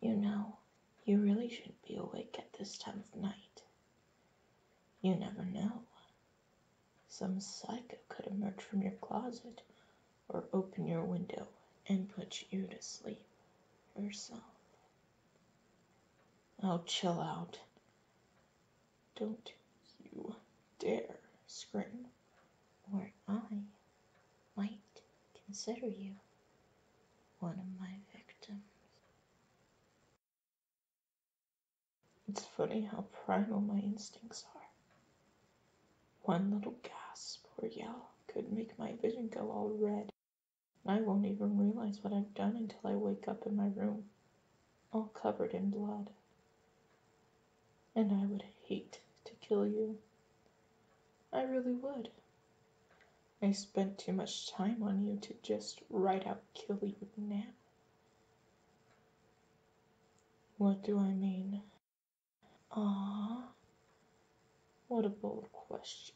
You know, you really shouldn't be awake at this time of night. You never know. Some psycho could emerge from your closet or open your window and put you to sleep herself. Oh, chill out. Don't you dare scream or I might consider you one of my victims. It's funny how primal my instincts are. One little gasp or yell could make my vision go all red, and I won't even realize what I've done until I wake up in my room, all covered in blood and I would hate to kill you. I really would. I spent too much time on you to just right out kill you now. What do I mean? Ah, what a bold question.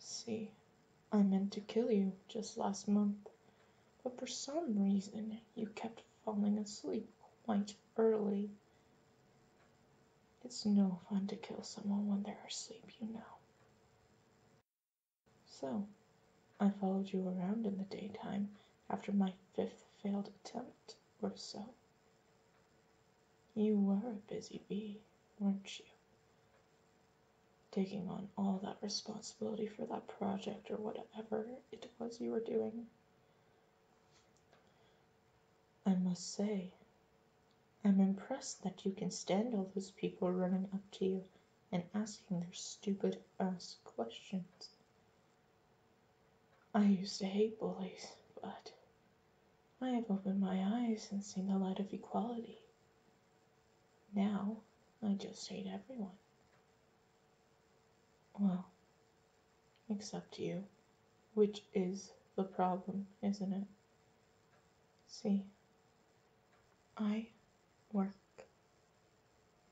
See, I meant to kill you just last month but for some reason you kept falling asleep quite early. It's no fun to kill someone when they're asleep, you know. So, I followed you around in the daytime after my fifth failed attempt or so. You were a busy bee, weren't you? Taking on all that responsibility for that project or whatever it was you were doing. I must say, I'm impressed that you can stand all those people running up to you and asking their stupid ass questions. I used to hate bullies, but I have opened my eyes and seen the light of equality. Now I just hate everyone. Well, except you, which is the problem, isn't it? See, I work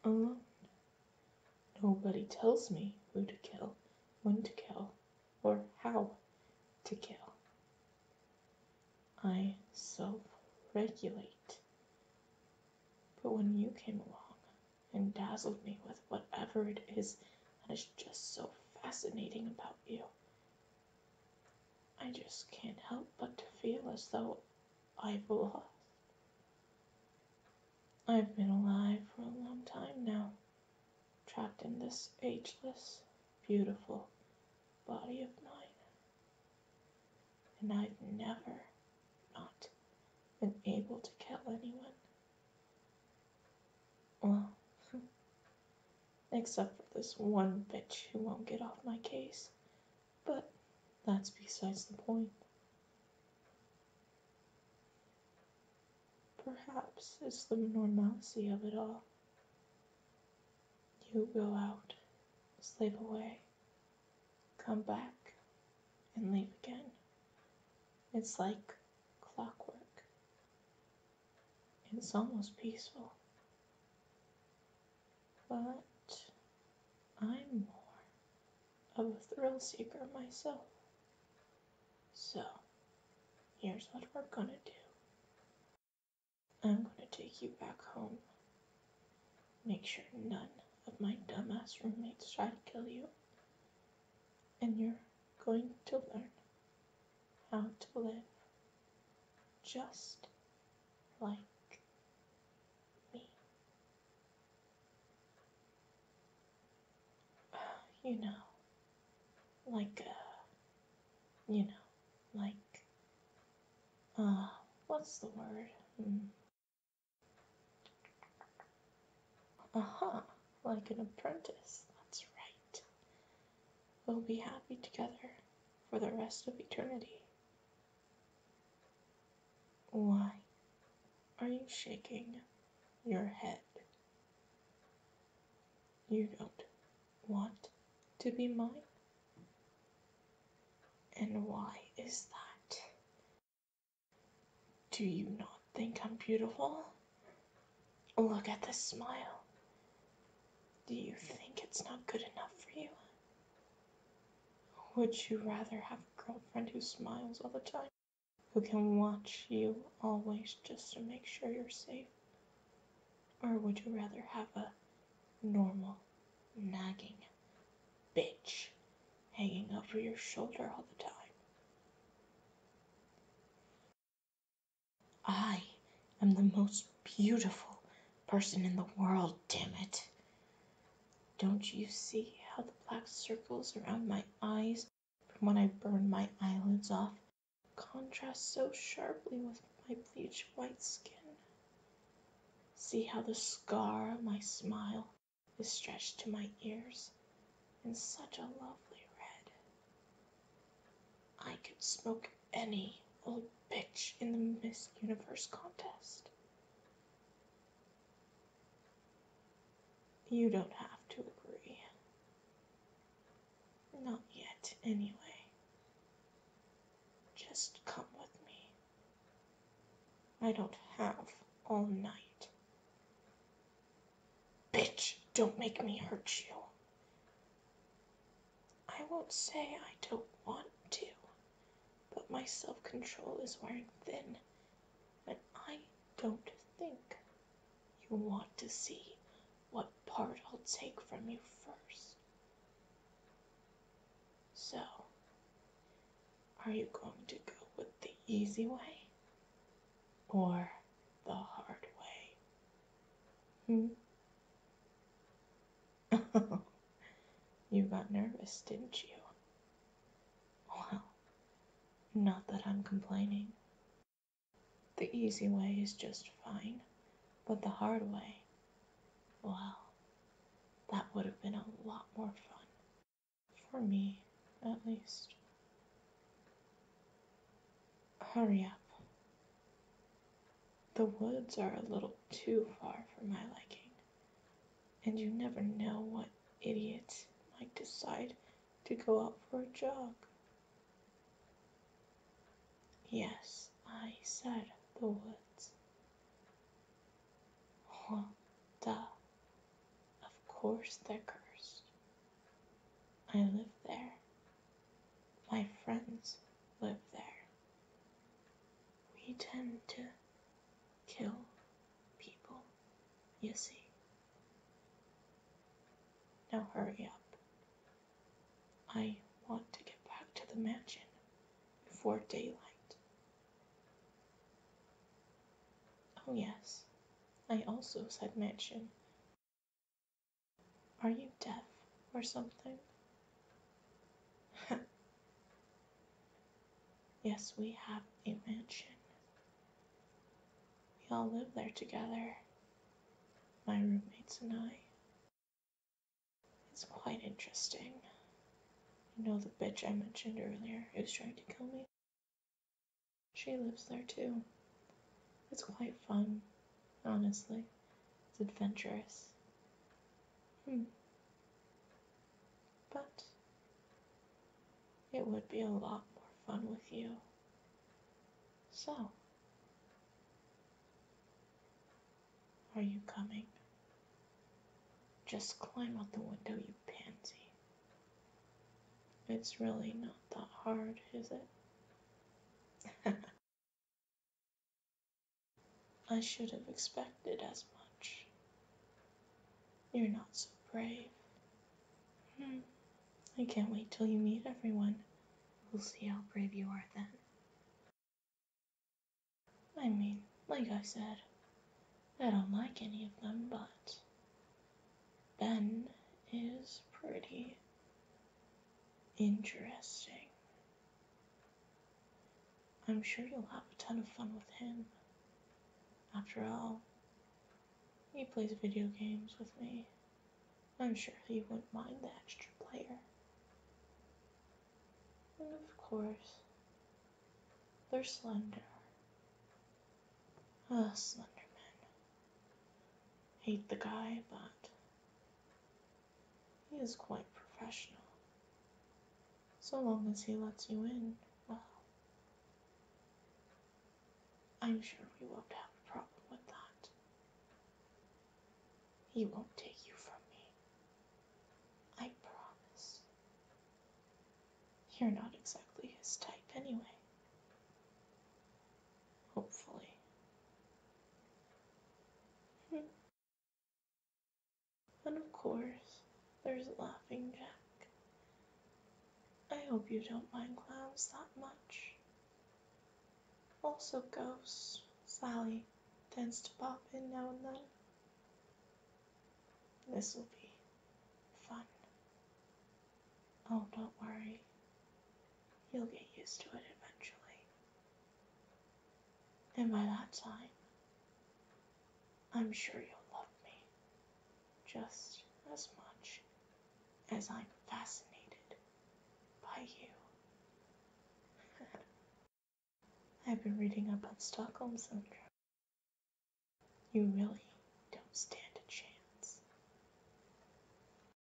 alone. Nobody tells me who to kill, when to kill, or how to kill. I self regulate. But when you came along and dazzled me with whatever it is that is just so fascinating about you, I just can't help but to feel as though I've lost. I've been alive for a long time now, trapped in this ageless, beautiful body of mine and I've never not been able to kill anyone. Well, except for this one bitch who won't get off my case, but that's besides the point. Perhaps it's the normalcy of it all. You go out, slave away, come back, and leave again. It's like clockwork. It's almost peaceful. But I'm more of a thrill seeker myself. So, here's what we're gonna do. I'm going to take you back home. Make sure none of my dumbass roommates try to kill you. And you're going to learn how to live just like me. You know, like a uh, you know, like, uh, what's the word? Hmm. Aha, uh -huh, like an apprentice, that's right. We'll be happy together for the rest of eternity. Why are you shaking your head? You don't want to be mine? And why is that? Do you not think I'm beautiful? Look at this smile. Do you think it's not good enough for you? Would you rather have a girlfriend who smiles all the time, who can watch you always just to make sure you're safe? Or would you rather have a normal, nagging bitch hanging over your shoulder all the time? I am the most beautiful person in the world, damn it. Don't you see how the black circles around my eyes from when I burn my eyelids off contrast so sharply with my bleached white skin. See how the scar of my smile is stretched to my ears in such a lovely red. I could smoke any old bitch in the Miss Universe contest. You don't have to agree. Not yet, anyway. Just come with me. I don't have all night. Bitch, don't make me hurt you. I won't say I don't want to, but my self control is wearing thin, and I don't think you want to see what part I'll take from you first. So, are you going to go with the easy way or the hard way? Hmm? you got nervous, didn't you? Well, not that I'm complaining. The easy way is just fine, but the hard way, well, that would have been a lot more fun. For me, at least. Hurry up. The woods are a little too far for my liking and you never know what idiots might decide to go out for a jog. Yes, I said the woods. Well, duh. Of course they're cursed. I live there. My friends live there. We tend to kill people, you see. Now hurry up. I want to get back to the mansion before daylight. Oh, yes, I also said mansion. Are you deaf or something? Yes, we have a mansion. We all live there together, my roommates and I. It's quite interesting. You know the bitch I mentioned earlier was trying to kill me? She lives there too. It's quite fun, honestly. It's adventurous. Hmm. But it would be a lot more fun with you. So, are you coming? Just climb out the window, you pansy. It's really not that hard, is it? I should have expected as much. You're not so brave. Hmm. I can't wait till you meet everyone. We'll see how brave you are then. I mean, like I said, I don't like any of them, but Ben is pretty interesting. I'm sure you'll have a ton of fun with him. After all, he plays video games with me. I'm sure he wouldn't mind the extra player. And of course, they're slender. Ah, oh, Slenderman. Hate the guy, but he is quite professional. So long as he lets you in, well, I'm sure we won't have a problem with that. He won't take you from me. I promise. You're not exactly his type anyway. Hopefully. Hmm. And of course, there's Laughing Jack. I hope you don't mind clowns that much. Also, ghosts. Sally tends to pop in now and then. This will be fun. Oh, don't worry. You'll get used to it eventually. And by that time, I'm sure you'll love me just as much as I'm fascinated by you. I've been reading about Stockholm Syndrome. You really don't stand a chance.